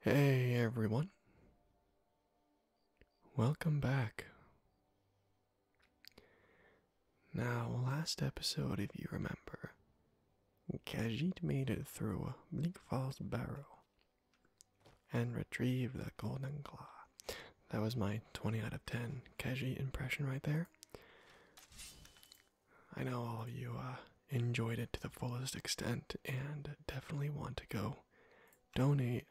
Hey everyone. Welcome back. Now, last episode, if you remember, Khajiit made it through Bleak Falls Barrow and retrieved the Golden Claw. That was my 20 out of 10 Khajiit impression right there. I know all of you uh, enjoyed it to the fullest extent and definitely want to go donate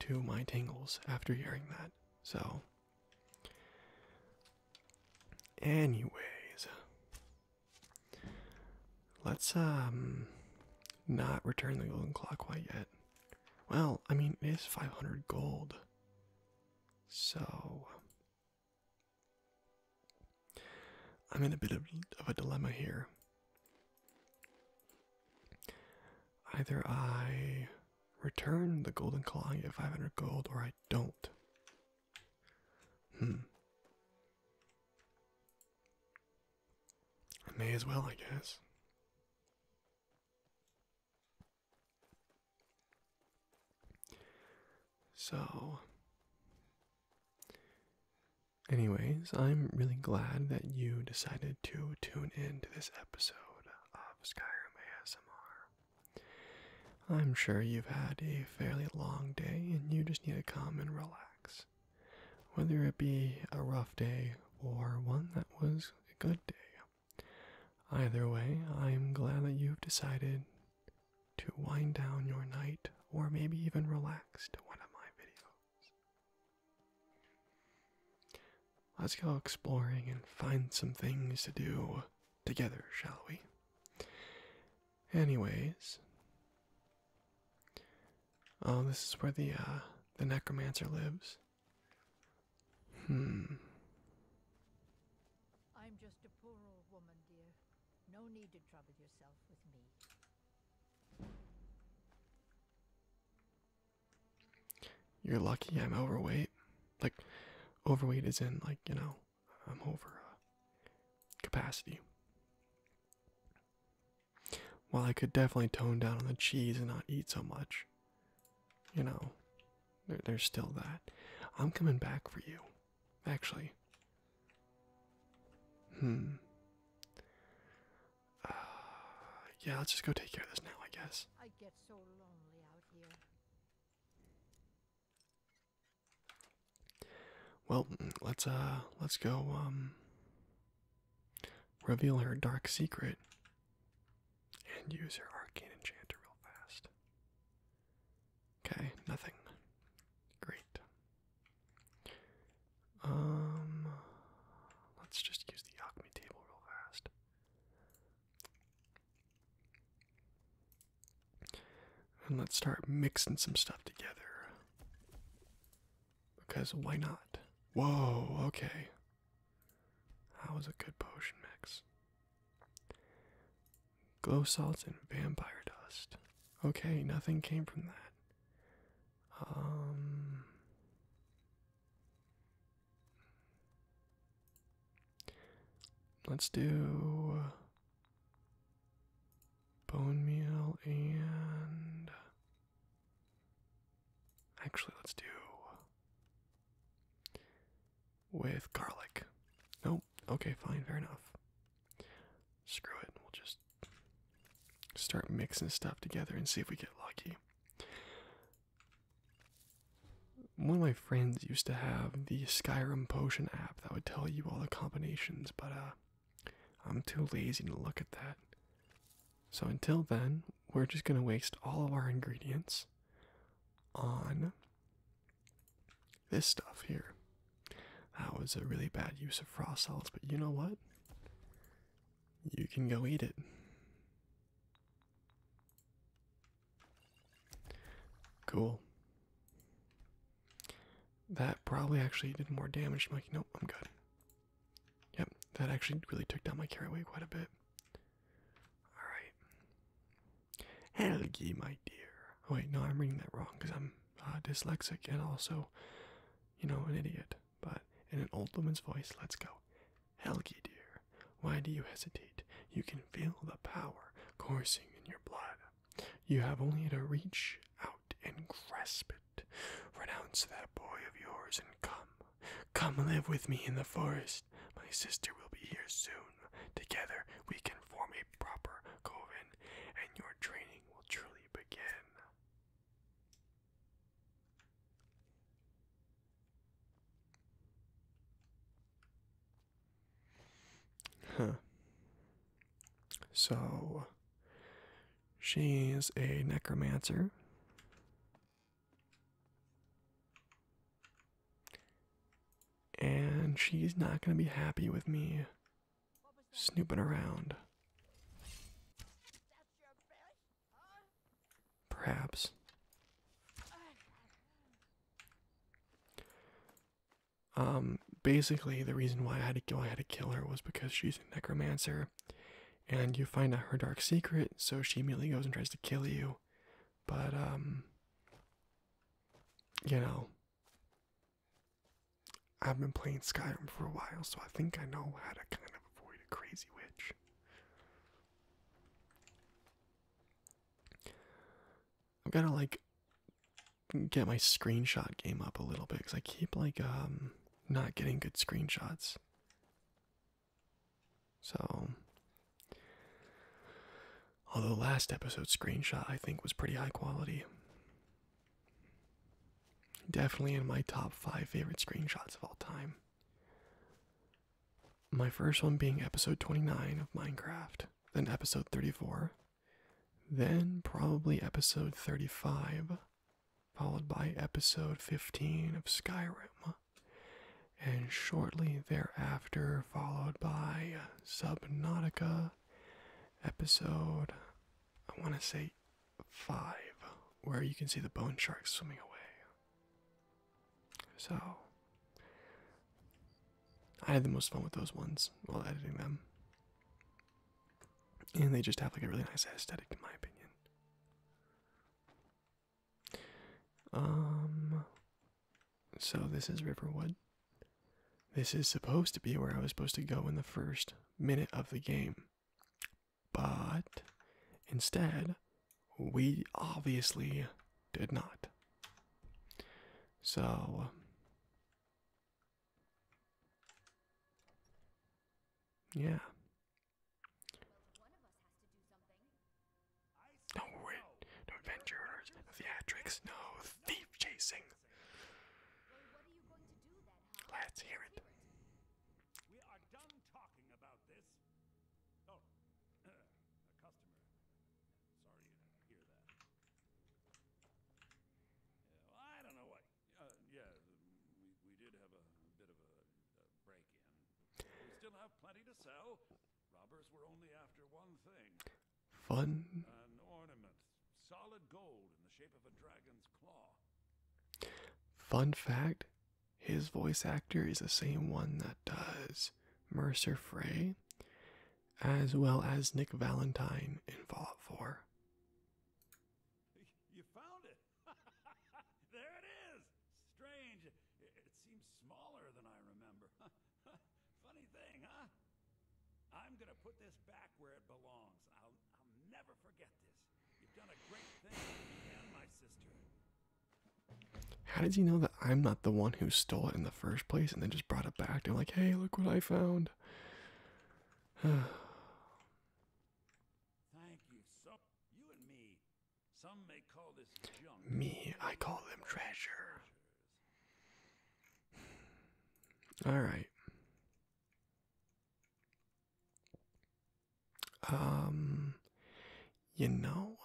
to my tingles after hearing that. So, anyways, let's um not return the golden clock yet. Well, I mean, it is 500 gold. So, I'm in a bit of, a dilemma here. Either I return the golden claw and get 500 gold, or I don't. Hmm. may as well, I guess. So, anyways, I'm really glad that you decided to tune in to this episode of Skyrim ASMR. I'm sure you've had a fairly long day and you just need to come and relax. Whether it be a rough day or one that was a good day, Either way, I am glad that you've decided to wind down your night or maybe even relax to one of my videos. Let's go exploring and find some things to do together, shall we? Anyways, oh, this is where the uh, the necromancer lives. Hmm. I'm just a poor old woman, dear. No need to trouble yourself with me. You're lucky I'm overweight. Like, overweight is in, like, you know, I'm over uh, capacity. Well, I could definitely tone down on the cheese and not eat so much, you know, there's still that. I'm coming back for you. Actually. Hmm. Uh, yeah, let's just go take care of this now, I guess. I get so lonely out here. Well, let's uh let's go um reveal her dark secret and use her arcane enchanter real fast. Okay, nothing. Great. Um, let's just use the alchemy table real fast. And let's start mixing some stuff together. Because why not? Whoa, okay. That was a good potion mix? Glow salts and vampire dust. Okay, nothing came from that. Um. Let's do uh, bone meal and actually let's do with garlic. Nope. Okay, fine, fair enough. Screw it. We'll just start mixing stuff together and see if we get lucky. One of my friends used to have the Skyrim potion app that would tell you all the combinations, but uh, I'm too lazy to look at that. So until then, we're just going to waste all of our ingredients on this stuff here. That was a really bad use of frost solids, but you know what? You can go eat it. Cool. That probably actually did more damage. I'm like, nope, I'm good. Yep, that actually really took down my carry weight quite a bit. Alright. Helgi, my dear. Oh, wait, no, I'm reading that wrong because I'm uh, dyslexic and also, you know, an idiot. But in an old woman's voice, let's go. Helgi, dear, why do you hesitate? You can feel the power coursing in your blood. You have only to reach out and grasp it. Renounce that boy of yours and come. Come live with me in the forest. My sister will be here soon. Together we can form a proper coven, and your training will truly begin. Huh. So, she's a necromancer. And she's not going to be happy with me snooping around. Perhaps. Um, basically, the reason why I had to kill her was because she's a necromancer, and you find out her dark secret, so she immediately goes and tries to kill you. But um, you know, I've been playing Skyrim for a while, so I think I know how to kind of avoid a crazy witch. i am going to like get my screenshot game up a little bit because I keep like um not getting good screenshots. So, although last episode screenshot I think was pretty high quality, definitely in my top five favorite screenshots of all time. My first one being episode 29 of Minecraft, then episode 34, then probably episode 35, followed by episode 15 of Skyrim and shortly thereafter followed by Subnautica episode I want to say 5 where you can see the bone shark swimming away. So I had the most fun with those ones while editing them. And they just have like a really nice aesthetic in my opinion. Um, so this is Riverwood. This is supposed to be where I was supposed to go in the first minute of the game. But instead, we obviously did not. So, yeah. No no adventurers, no theatrics, no thief chasing. Let's hear it. We are done talking about this. Oh, a customer. Sorry you didn't hear that. well, I don't know what. Uh, yeah, we, we did have a, bit of a break in. We still have plenty to sell, Fun. Fun fact, his voice actor is the same one that does Mercer Frey, as well as Nick Valentine in Fallout 4. You found it. there it is. Strange. It seems smaller than I remember. Funny thing, huh? I'm gonna put this back where it belongs. I'll, never forget this. You've done a great thing my sister. How did you know that I'm not the one who stole it in the first place and then just brought it back? They're like, hey, look what I found. Thank you so. You and me, me, I call them treasure. All right. Um, you know,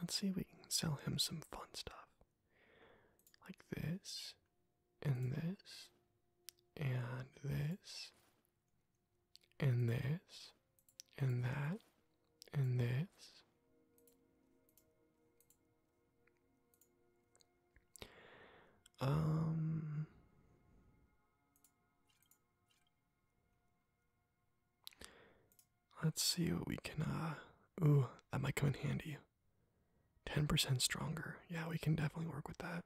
let's see if we can sell him some fun stuff like this, and this, and this, and this, and that, and this. Um, let's see what we can, uh, ooh, that might come in handy. 10% stronger. Yeah, we can definitely work with that.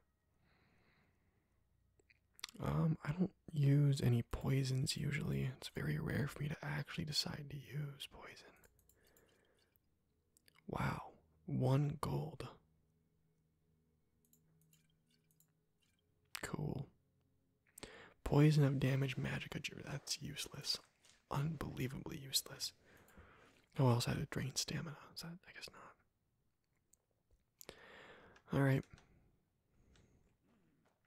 Um, I don't use any poisons usually. It's very rare for me to actually decide to use poison. Wow, one gold. Cool. Poison of damage magic adjure. That's useless. Unbelievably useless. Oh, else I had to drain stamina. Is that? I guess not. Alright.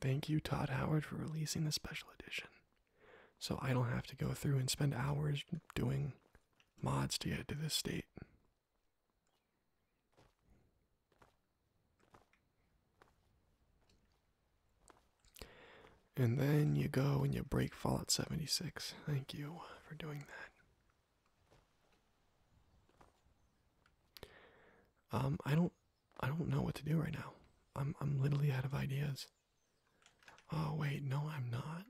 Thank you, Todd Howard, for releasing the special edition. So I don't have to go through and spend hours doing mods to get to this state. And then you go and you break Fallout 76. Thank you for doing that. Um, I don't, I don't know what to do right now. I'm, I'm literally out of ideas. Oh wait, no, I'm not.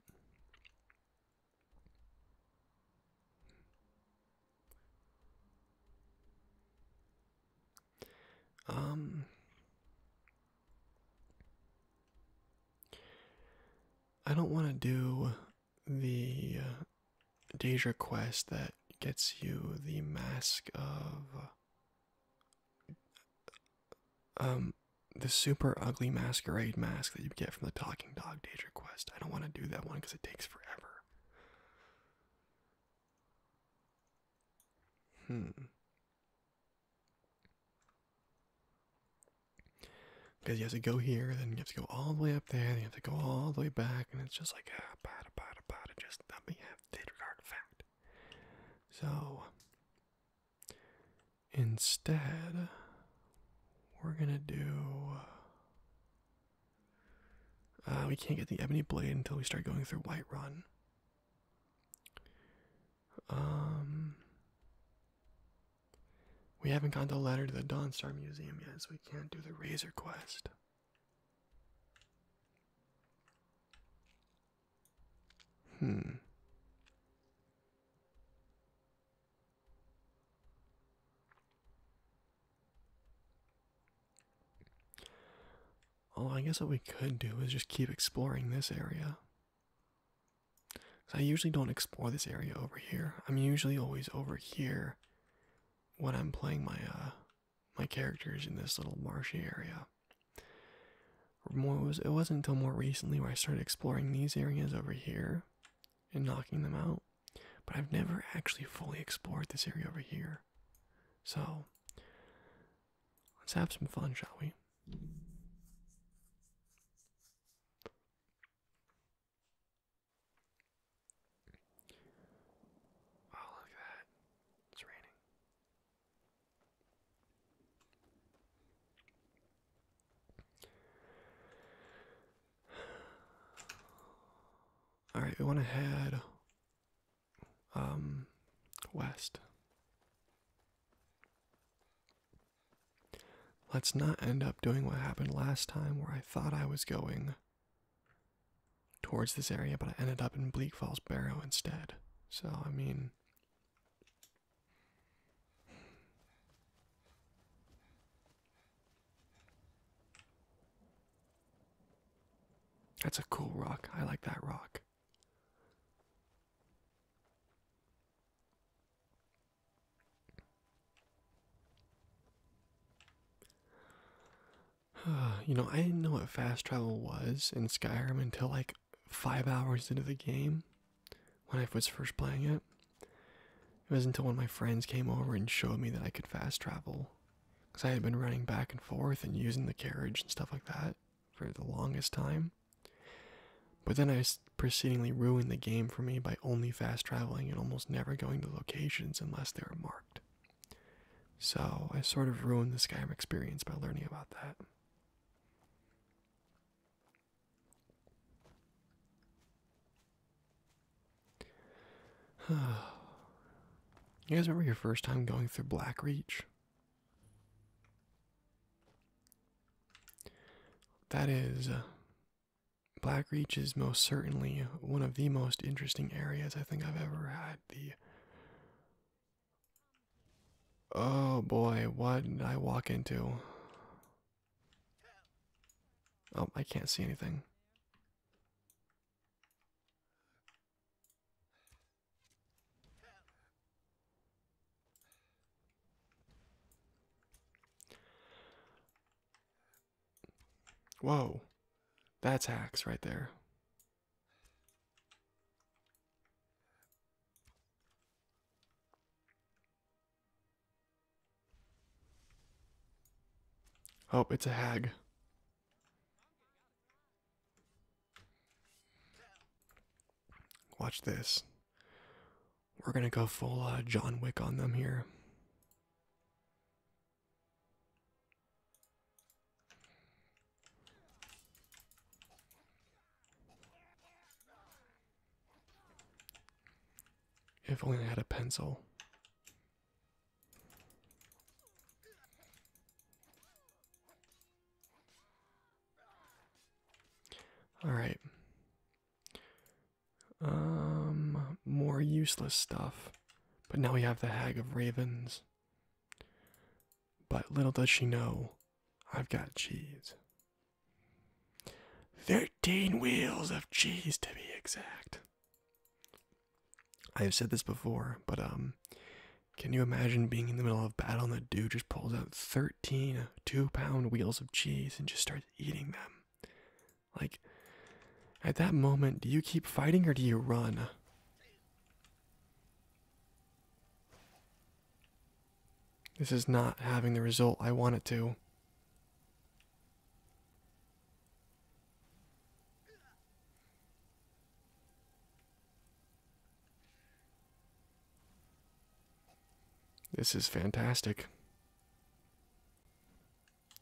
Um, I don't want to do the uh, Daedra quest that gets you the mask of um the super ugly masquerade mask that you get from the Talking Dog Daedra quest. I don't want to do that one because it takes forever. Hmm. Because you have to go here, then you have to go all the way up there, then you have to go all the way back, and it's just like, ah, bada, bada, bada, just let me have that artifact. So, instead, we're gonna do. Uh, we can't get the Ebony Blade until we start going through White Run. Um, we haven't gotten the letter to the Dawnstar Museum yet, so we can't do the Razor Quest. Hmm. Oh, I guess what we could do is just keep exploring this area. I usually don't explore this area over here. I'm usually always over here when I'm playing my uh, my characters in this little marshy area. More was it wasn't until more recently where I started exploring these areas over here and knocking them out. But I've never actually fully explored this area over here. So let's have some fun, shall we? Oh, look at that. It's raining. All right, we want to head um west. Let's not end up doing what happened last time where I thought I was going towards this area, but I ended up in Bleak Falls Barrow instead. So, I mean. That's a cool rock. I like that rock. you know, I didn't know what fast travel was in Skyrim until like five hours into the game when I was first playing it. It was not until one of my friends came over and showed me that I could fast travel. Because I had been running back and forth and using the carriage and stuff like that for the longest time. But then I Precedingly ruined the game for me by only fast traveling and almost never going to locations unless they were marked. So I sort of ruined the Skyrim experience by learning about that. you guys remember your first time going through Blackreach? That is uh, Blackreach is most certainly one of the most interesting areas I think I've ever had the Oh boy, what did I walk into? Oh, I can't see anything. Whoa, that's axe right there. Oh, it's a hag. Watch this. We're gonna go full uh, John Wick on them here. If only I had a pencil. All right. Um, more useless stuff. But now we have the Hag of Ravens. But little does she know, I've got cheese. Thirteen wheels of cheese to be exact. I have said this before, but um, can you imagine being in the middle of battle and the dude just pulls out thirteen pound wheels of cheese and just starts eating them? Like, at that moment, do you keep fighting or do you run? This is not having the result I want it to. This is fantastic.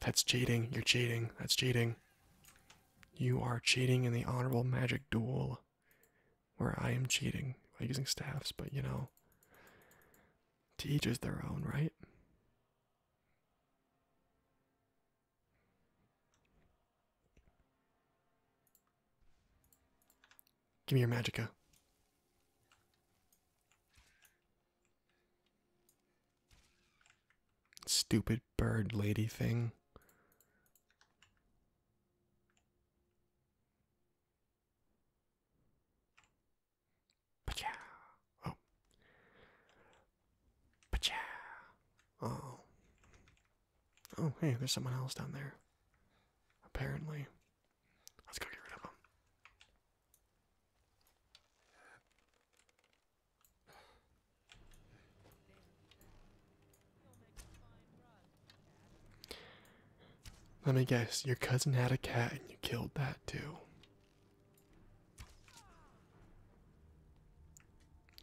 That's cheating. You're cheating. That's cheating. You are cheating in the honorable magic duel where I am cheating by using staffs, but you know, to each is their own, right? Give me your magica. Stupid bird lady thing. Pacha. Oh. Pacha. Oh. Oh, hey, there's someone else down there. Apparently. Let's go get rid of them. Let me guess, your cousin had a cat and you killed that too.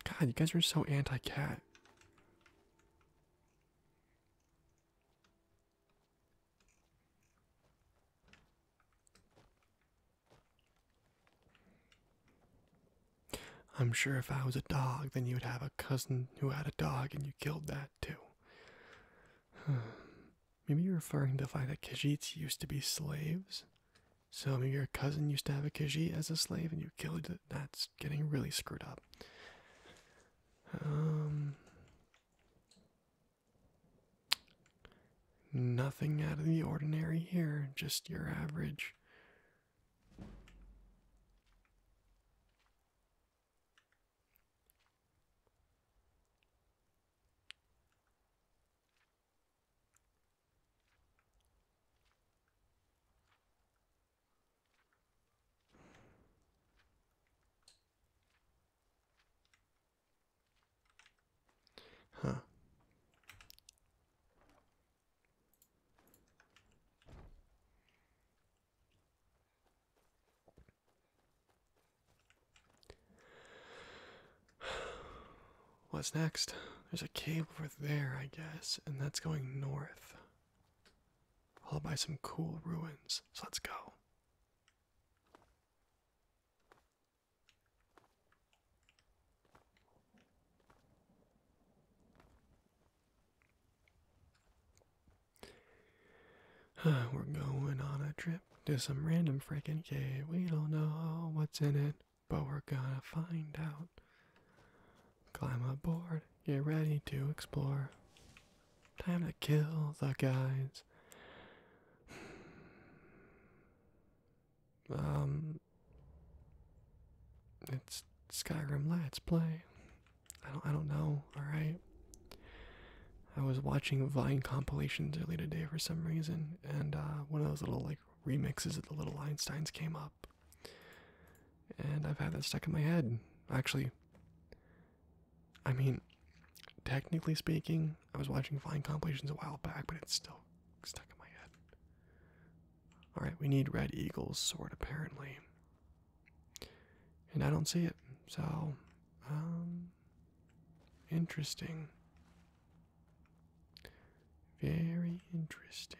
God, you guys are so anti cat. I'm sure if I was a dog, then you would have a cousin who had a dog and you killed that too. maybe you're referring to the fact that Khajiits used to be slaves. So maybe your cousin used to have a Khajiit as a slave and you killed it. That's getting really screwed up. Um, Nothing out of the ordinary here, just your average. Huh. What's next? There's a cave over there, I guess, and that's going north. Followed by some cool ruins. So let's go. We're going on a trip to some random freaking cave. We don't know what's in it, but we're gonna find out. Climb aboard, get ready to explore. Time to kill the guys. Um, it's Skyrim. Let's play. I don't. I don't know. All right. I was watching Vine compilations earlier today for some reason, and uh, one of those little like remixes of the Little Einsteins came up, and I've had that stuck in my head. Actually, I mean, technically speaking, I was watching Flying Compilations a while back, but it's still stuck in my head. Alright, we need Red Eagle's sword apparently. And I don't see it, so, um, interesting. Very interesting.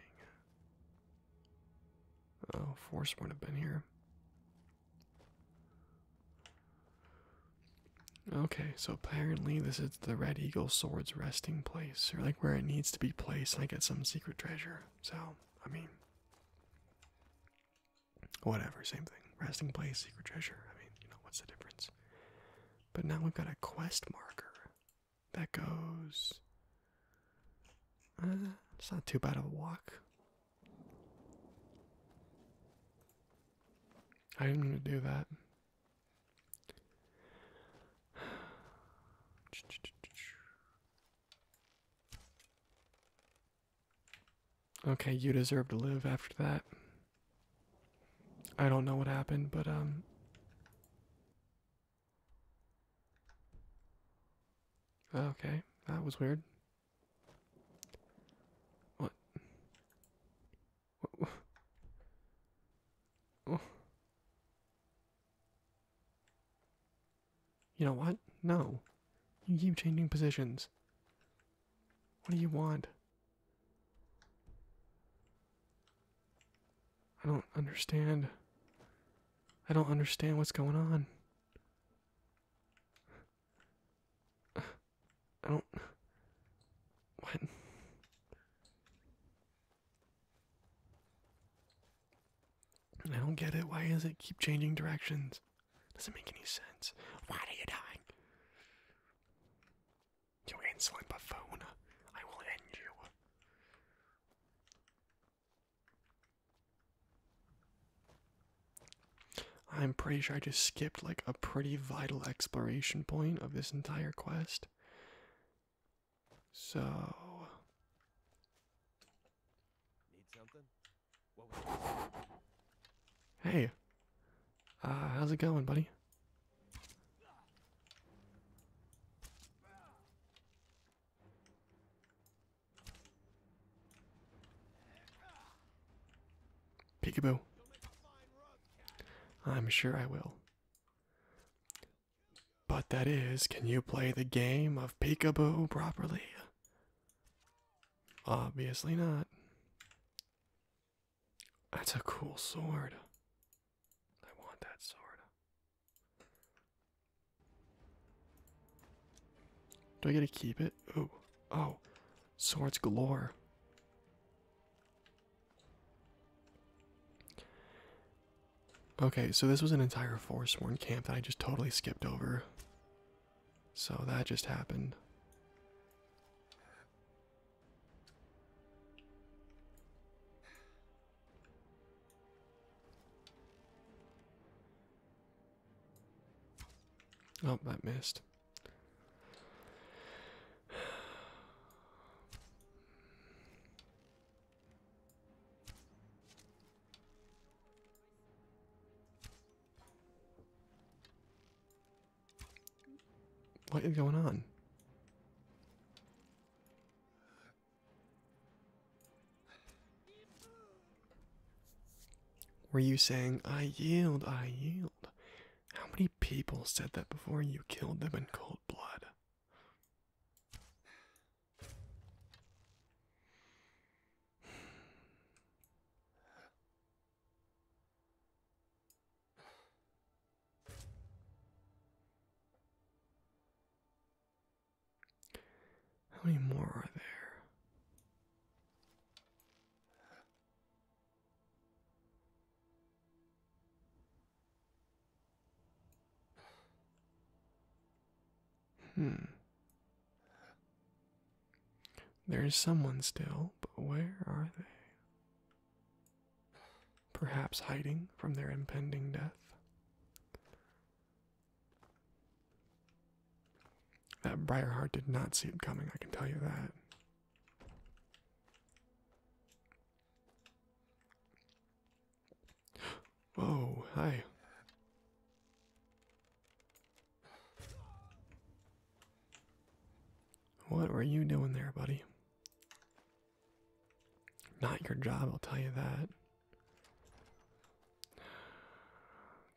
Oh, Force wouldn't have been here. Okay, so apparently this is the Red Eagle Sword's resting place, or like where it needs to be placed, I get some secret treasure. So, I mean, whatever, same thing. Resting place, secret treasure. I mean, you know, what's the difference? But now we've got a quest marker that goes. Uh, it's not too bad of a walk. I am going to do that. Okay, you deserve to live after that. I don't know what happened, but, um. Okay, that was weird. What? what? Oh. You know what? No. You keep changing positions. What do you want? I don't understand. I don't understand what's going on. I don't. What? I don't get it. Why does it keep changing directions? Doesn't make any sense. Why are you dying? You insolent buffoon. I will end you. I'm pretty sure I just skipped like a pretty vital exploration point of this entire quest. So Hey. Uh, how's it going, buddy? Peekaboo. I'm sure I will. But that is, can you play the game of peekaboo properly? Obviously not. That's a cool sword. I want that sword. Do I get to keep it? Oh, oh, swords galore. Okay, so this was an entire Forsworn camp that I just totally skipped over. So that just happened. Oh, that missed. What is going on? Were you saying, I yield, I yield? How many people said that before you killed them in cold blood? How many more are there? Hmm. There's someone still, but where are they? Perhaps hiding from their impending death. That Briarheart did not see it coming, I can tell you that. Whoa, hi. What were you doing there, buddy? Not your job, I'll tell you that.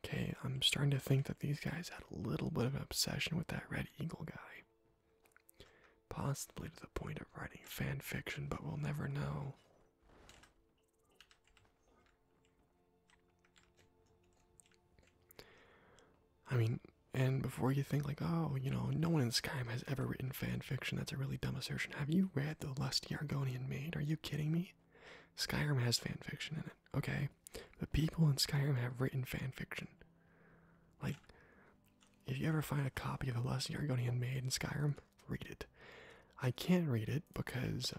Okay, I'm starting to think that these guys had a little bit of an obsession with that Red Eagle guy. Possibly to the point of writing fan fiction, but we'll never know. I mean, and before you think like, oh, you know, no one in Skyrim has ever written fan fiction, that's a really dumb assertion. Have you read The Lusty Argonian Maid? Are you kidding me? Skyrim has fan fiction in it, okay? But people in Skyrim have written fan fiction. Like, if you ever find a copy of the Lesson Argonian made in Skyrim, read it. I can't read it because,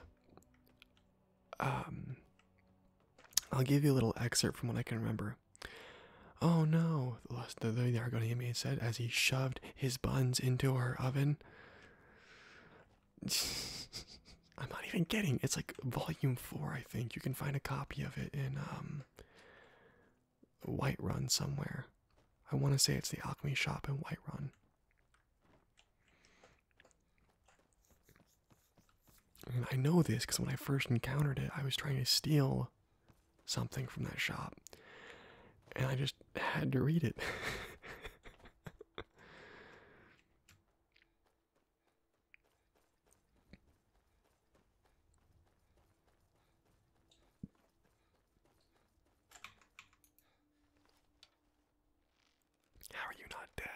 um, I'll give you a little excerpt from what I can remember. Oh no, the, the, the Argonian maid said as he shoved his buns into her oven. I'm not even getting. It's like volume four, I think. You can find a copy of it in um Whiterun somewhere. I want to say it's the Alchemy Shop in Whiterun. And I know this because when I first encountered it, I was trying to steal something from that shop. And I just had to read it. How are you not dead?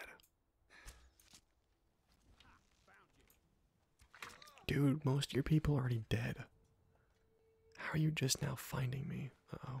Dude, most of your people are already dead. How are you just now finding me? Uh oh.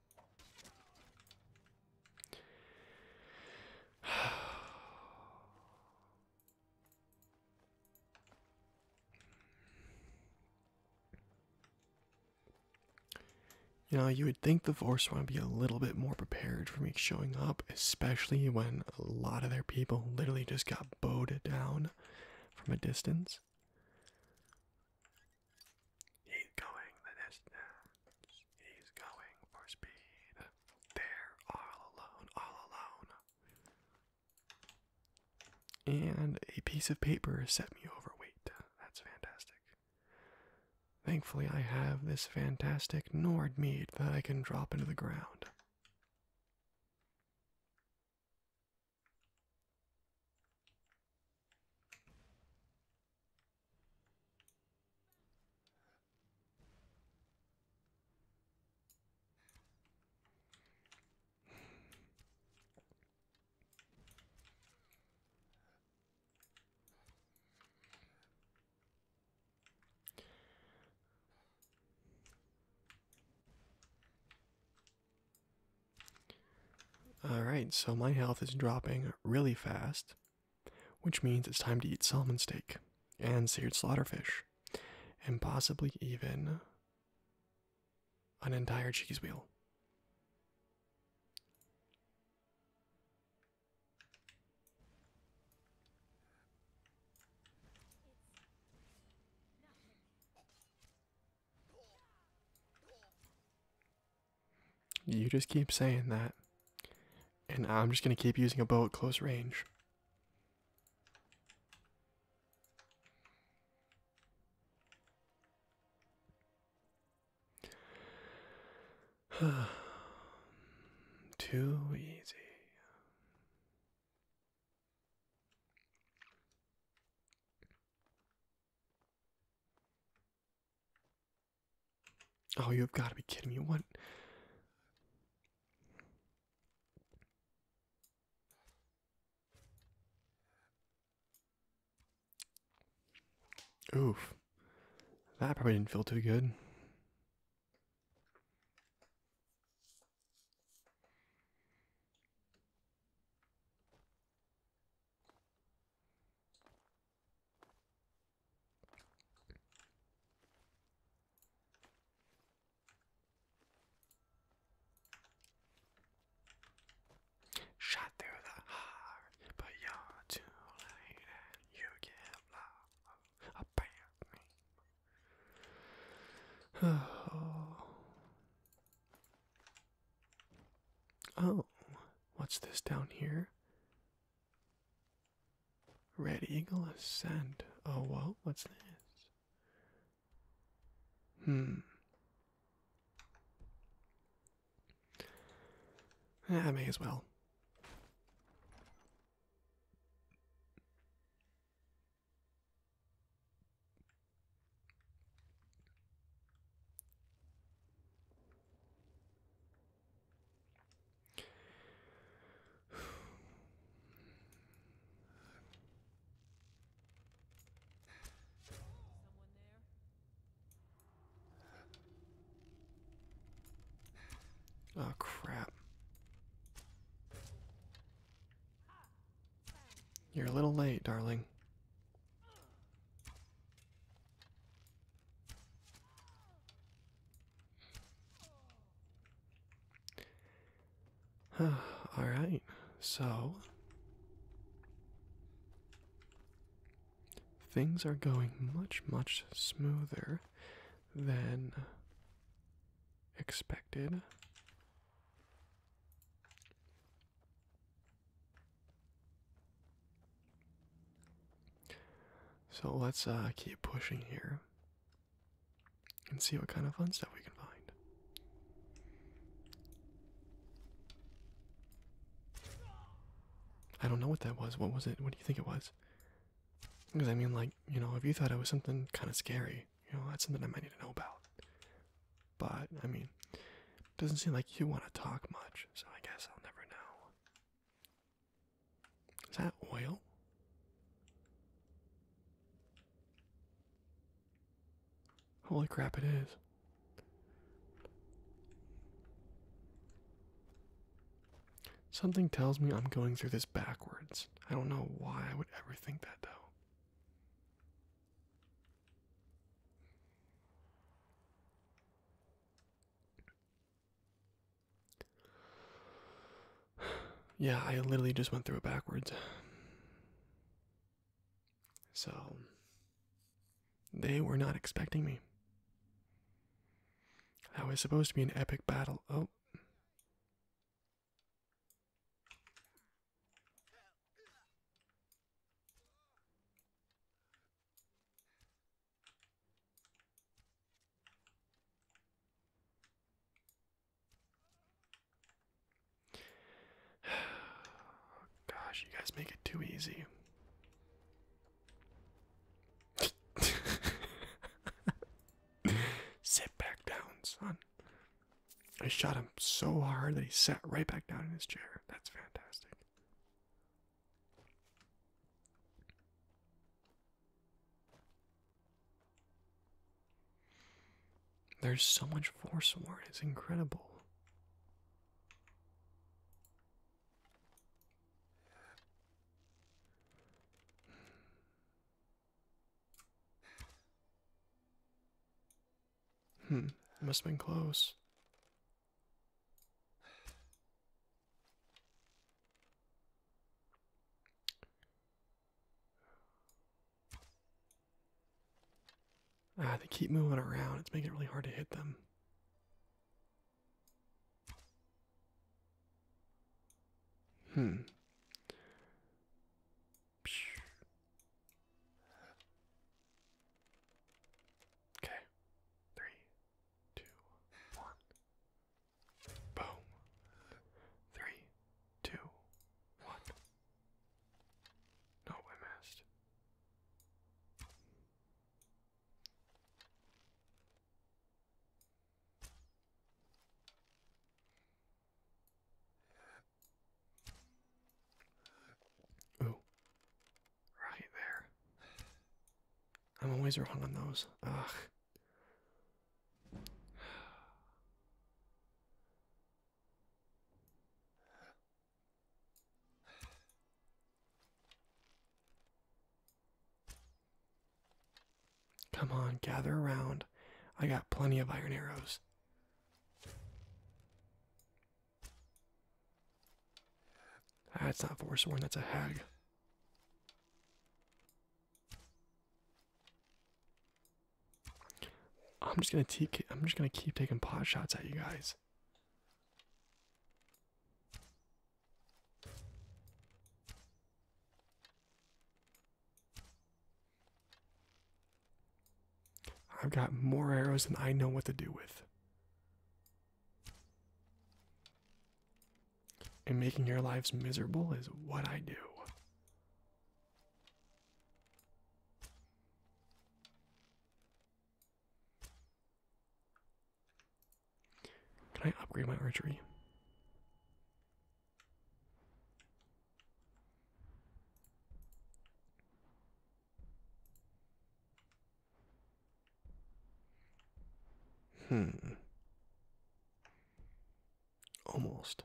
You know, you would think the force would be a little bit more prepared for me showing up, especially when a lot of their people literally just got bowed down from a distance. He's going the distance. He's going for speed. They're all alone, all alone. And a piece of paper set me overweight. That's fantastic. Thankfully, I have this fantastic Nord meat that I can drop into the ground. All right, so my health is dropping really fast which means it's time to eat salmon steak and seared slaughterfish and possibly even an entire cheese wheel. You just keep saying that. And I'm just going to keep using a bow at close range. Too easy. Oh, you have got to be kidding me. What? Oof. That probably didn't feel too good. Shot through the heart, but you're too late you can't love about me. Oh. Oh, what's this down here? Red Eagle Ascend. Oh, well, what's this? Hmm. Eh, I may as well. Oh, crap. You're a little late, darling. All right, so things are going much, much smoother than expected. So let's uh, keep pushing here and see what kind of fun stuff we can find. I don't know what that was. What was it? What do you think it was? Because I mean, like, you know, if you thought it was something kind of scary, you know, that's something I might need to know about. But, I mean, it doesn't seem like you want to talk much so I guess I'll never know. Is that oil? Holy crap, it is. Something tells me I'm going through this backwards. I don't know why I would ever think that though. yeah, I literally just went through it backwards. So, they were not expecting me. That was supposed to be an epic battle. Oh. Gosh, you guys make it too easy. Sit back down, son. I shot him so hard that he sat right back down in his chair. That's fantastic. There's so much Forsworn, it's incredible. Hmm, must have been close. Ah, they keep moving around. It's making it really hard to hit them. Hmm. Okay. Three, two, one. Boom. Three, two, one. No, I missed. Ooh. Right there. I'm always wrong on those. Ugh. Come on, gather around. I got plenty of iron arrows. That's ah, not not Forsworn, that's a hag. I'm just gonna take. I'm just gonna keep taking pot shots at you guys. I've got more arrows than I know what to do with. And making your lives miserable is what I do. Can I upgrade my archery? Hmm. Almost.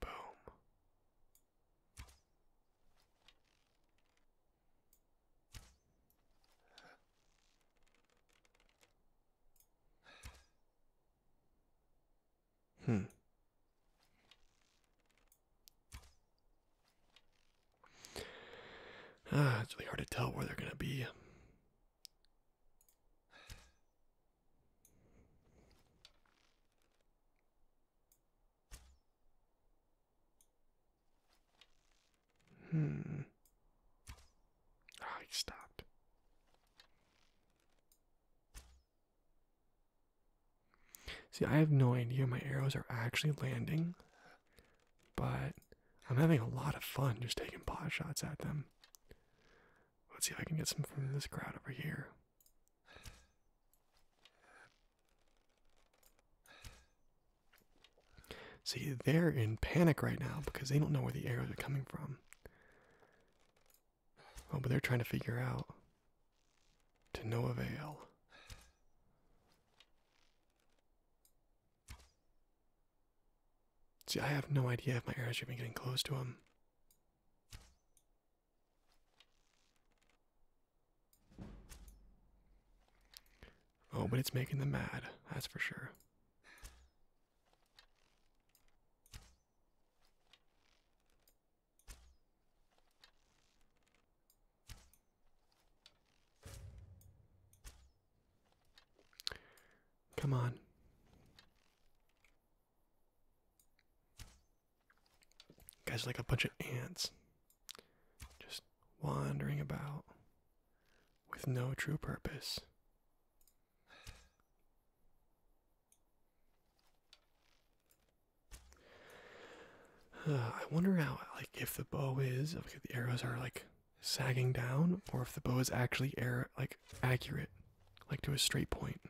Boom. Hmm. Ah, it's really hard to tell where they're going to be. Hmm. I stopped. See, I have no idea my arrows are actually landing, but I'm having a lot of fun just taking pot shots at them. Let's see if I can get some from this crowd over here. See, they're in panic right now because they don't know where the arrows are coming from. Oh, but they're trying to figure out. To no avail. See, I have no idea if my arrows are even getting close to them. Oh, but it's making them mad, that's for sure. Come on. Guys, like a bunch of ants just wandering about with no true purpose. I wonder how, like, if the bow is, if the arrows are like sagging down, or if the bow is actually air, like accurate, like to a straight point.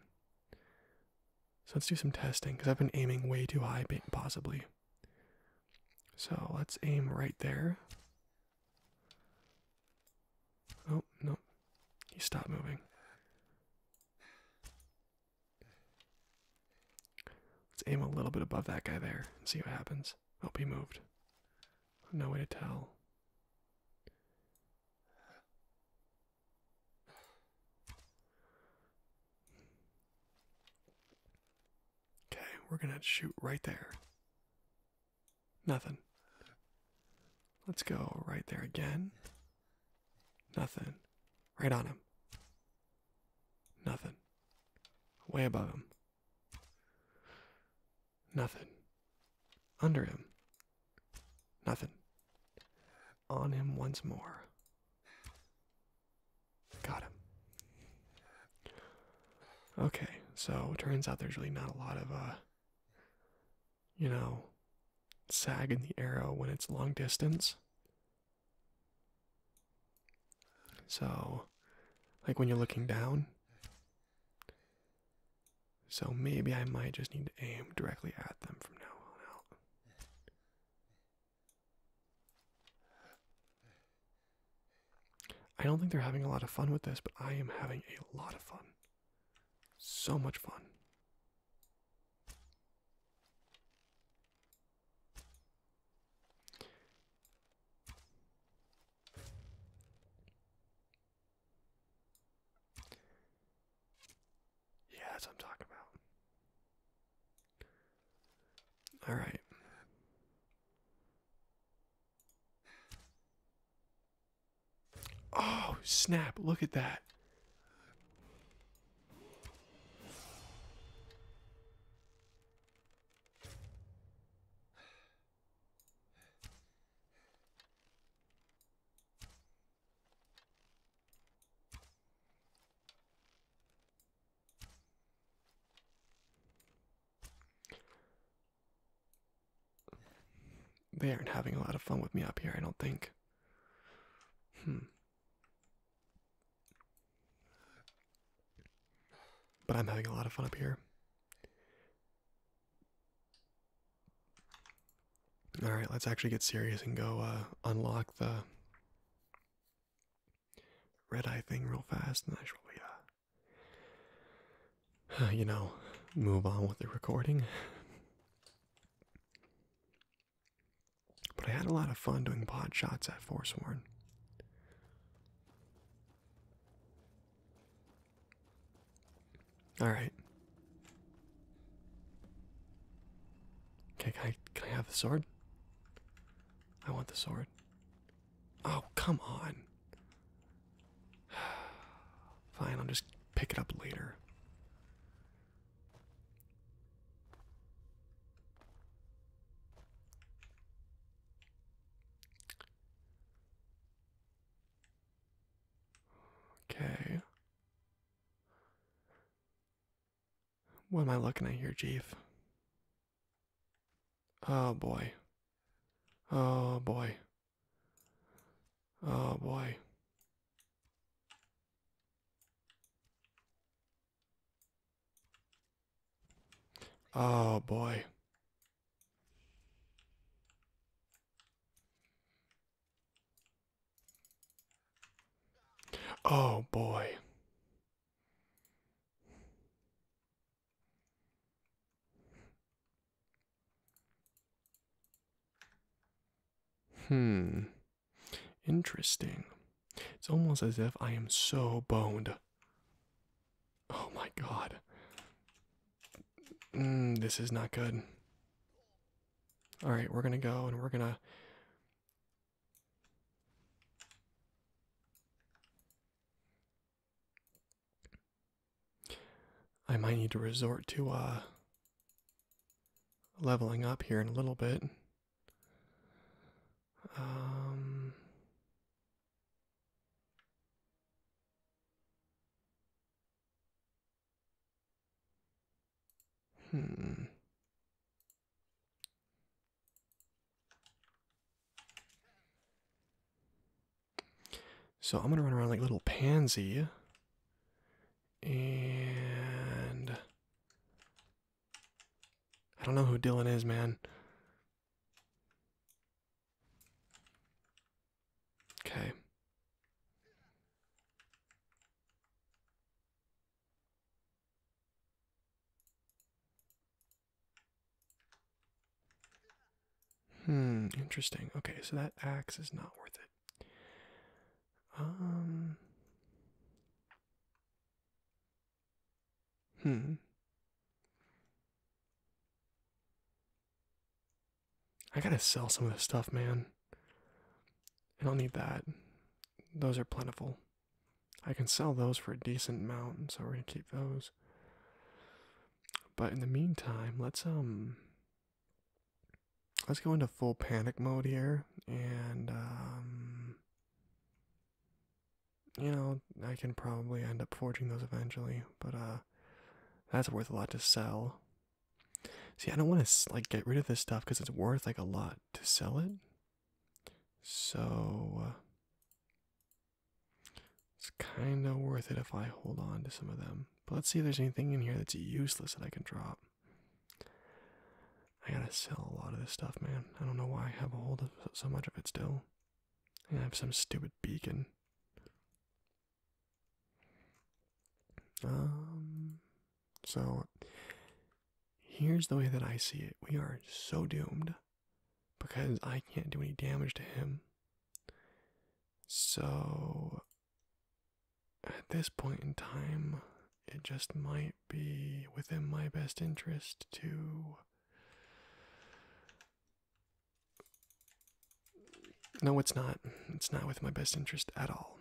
So let's do some testing because I've been aiming way too high, possibly. So let's aim right there. Oh, no. He stopped moving. Let's aim a little bit above that guy there and see what happens. Oh, he moved. No way to tell. Okay, we're gonna shoot right there. Nothing. Let's go right there again. Nothing. Right on him. Nothing. Way above him. Nothing. Under him. Nothing. On him once more. Got him. Okay, so it turns out there's really not a lot of, uh, you know, sag in the arrow when it's long distance. So, like when you're looking down. So maybe I might just need to aim directly at them from now on out. I don't think they're having a lot of fun with this, but I am having a lot of fun. So much fun. Yeah, that's I'm talking about. All right. Oh, snap. Look at that. They aren't having a lot of fun with me up here, I don't think. Hmm. But I'm having a lot of fun up here. Alright, let's actually get serious and go uh, unlock the red eye thing real fast, and I should uh, you know, move on with the recording. But I had a lot of fun doing pod shots at Forsworn. All right. Okay, can I have the sword? I want the sword. Oh, come on. Fine, I'll just pick it up later. Okay. What am I looking at here, Jeeves? Oh boy. Oh boy. Oh boy. Oh boy. Oh boy. Hmm. Interesting. It's almost as if I am so boned. Oh my god. Mm, this is not good. Alright, we're gonna go and we're gonna I might need to resort to uh, leveling up here in a little bit. Um, hmm. So I'm going to run around like little pansy. And I don't know who Dylan is, man. Okay. Hmm, interesting. Okay, so that axe is not worth it. Um. Hmm. I gotta sell some of this stuff, man. I don't need that those are plentiful. I can sell those for a decent amount, so we're gonna keep those. But in the meantime, let's um let's go into full panic mode here and um you know, I can probably end up forging those eventually, but uh that's worth a lot to sell. See, I don't want to like get rid of this stuff cuz it's worth like a lot to sell it. So uh, it's kind of worth it if I hold on to some of them. But let's see if there's anything in here that's useless that I can drop. I gotta sell a lot of this stuff, man. I don't know why I have a hold of so much of it still. I have some stupid beacon. Um, so here's the way that I see it we are so doomed because I can't do any damage to him. So, at this point in time, it just might be within my best interest to. No, it's not. It's not with my best interest at all.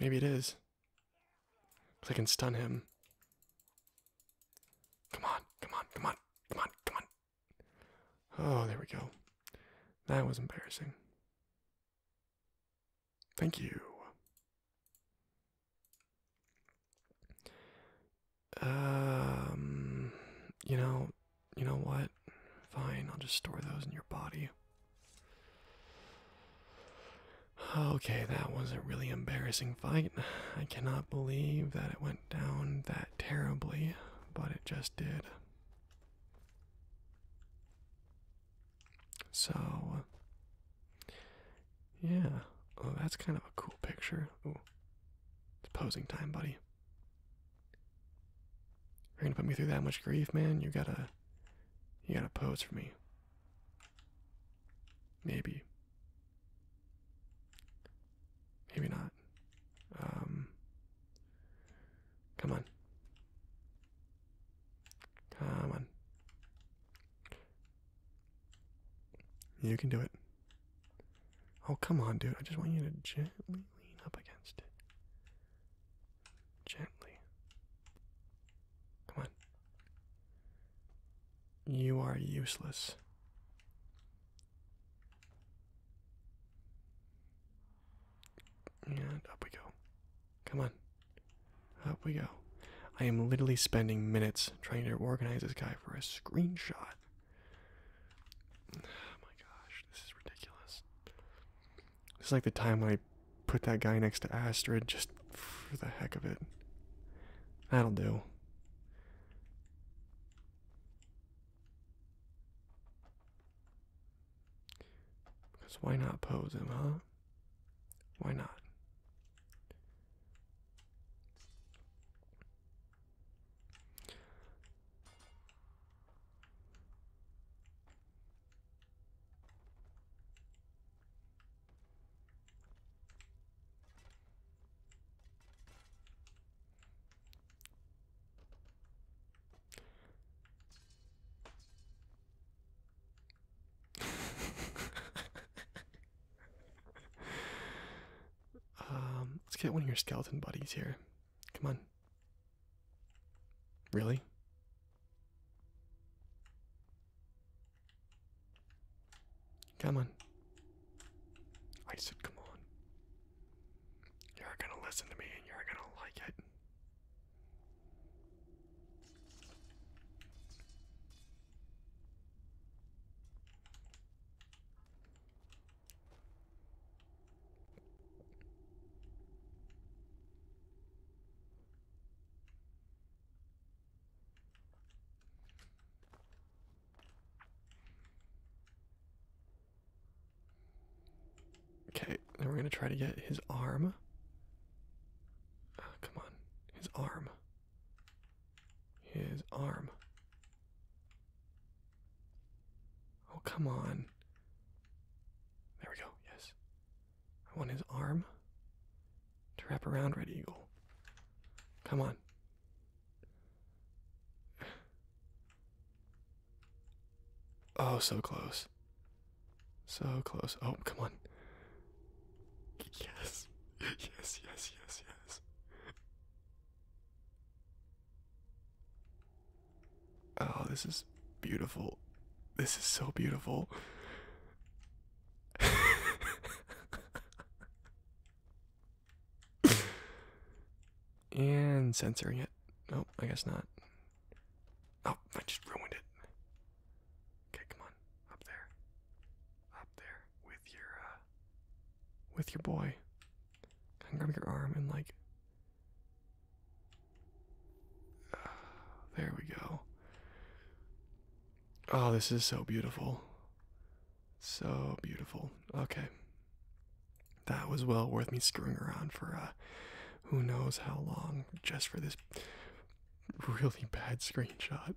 Maybe it is. Cause I can stun him. Come on, come on, come on, come on, come on. Oh, there we go. That was embarrassing. Thank you. Um, you know, you know what? Fine, I'll just store those in your body. Okay, that was a really embarrassing fight. I cannot believe that it went down that terribly, but it just did. So, yeah. Oh, that's kind of a cool picture. Ooh. It's posing time, buddy. You're gonna put me through that much grief, man. You gotta, you gotta pose for me. Maybe. Maybe not. Um. Come on. Come on. You can do it. Oh, come on, dude. I just want you to gently lean up against it. Gently. Come on. You are useless. And up we go. Come on. Up we go. I am literally spending minutes trying to organize this guy for a screenshot. Oh my gosh, this is ridiculous. It's like the time I put that guy next to Astrid just for the heck of it. That'll do. Because why not pose him, huh? Why not? um, let's get one of your skeleton buddies here. Come on. Really? Come on. I said, come on. You're gonna listen to me and you're gonna like it. Okay, then we're gonna try to get his arm. Uh, come on, his arm. His arm. Oh, come on. There we go. Yes. I want his arm to wrap around Red Eagle. Come on. Oh, so close. So close. Oh, come on. Yes. Yes, yes, yes, yes. Oh, this is beautiful. This is so beautiful. and censoring it. Nope, I guess not. Oh, I just ruined it. Okay, come on. Up there. Up there with your uh, with your boy. And grab your arm and like. There we go. Oh, this is so beautiful. So beautiful. Okay. That was well worth me screwing around for uh, who knows how long just for this really bad screenshot.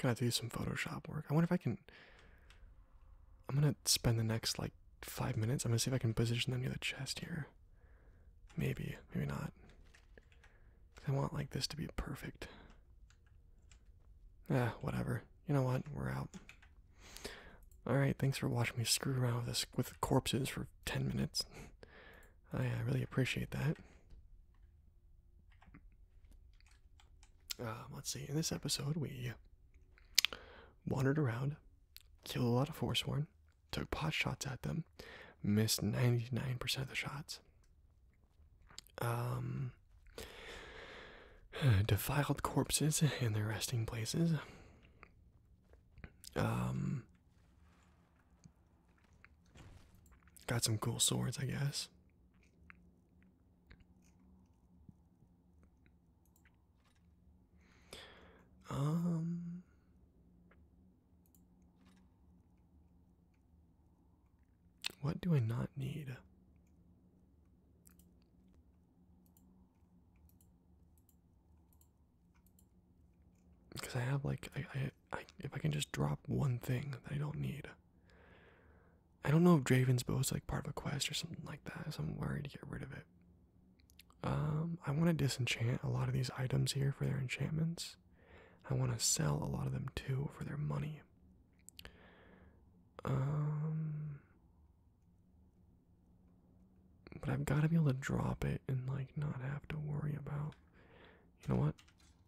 Gotta do some Photoshop work. I wonder if I can. I'm gonna spend the next like five minutes. I'm gonna see if I can position them near the chest here. Maybe, maybe not. I want like this to be perfect. Yeah. whatever. You know what? We're out. Alright, thanks for watching me screw around with this with corpses for ten minutes. I uh, really appreciate that. Um, let's see. In this episode, we wandered around, killed a lot of Forsworn, took pot shots at them, missed 99% of the shots, um, defiled corpses in their resting places, um, got some cool swords, I guess. Um What do I not need? Because I have like I, I if I can just drop one thing that I don't need, I don't know if Draven's bow is like part of a quest or something like that, so I'm worried to get rid of it. Um, I want to disenchant a lot of these items here for their enchantments. I want to sell a lot of them too for their money. Um, but I've got to be able to drop it and like not have to worry about. You know what?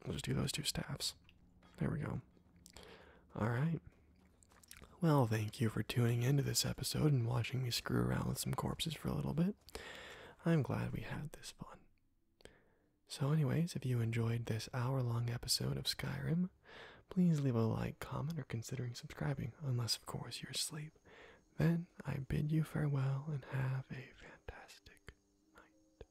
Let's do those two staffs. There we go. Alright. Well, thank you for tuning into this episode and watching me screw around with some corpses for a little bit. I'm glad we had this fun. So, anyways, if you enjoyed this hour long episode of Skyrim, please leave a like, comment, or considering subscribing, unless, of course, you're asleep. Then I bid you farewell and have a fantastic night.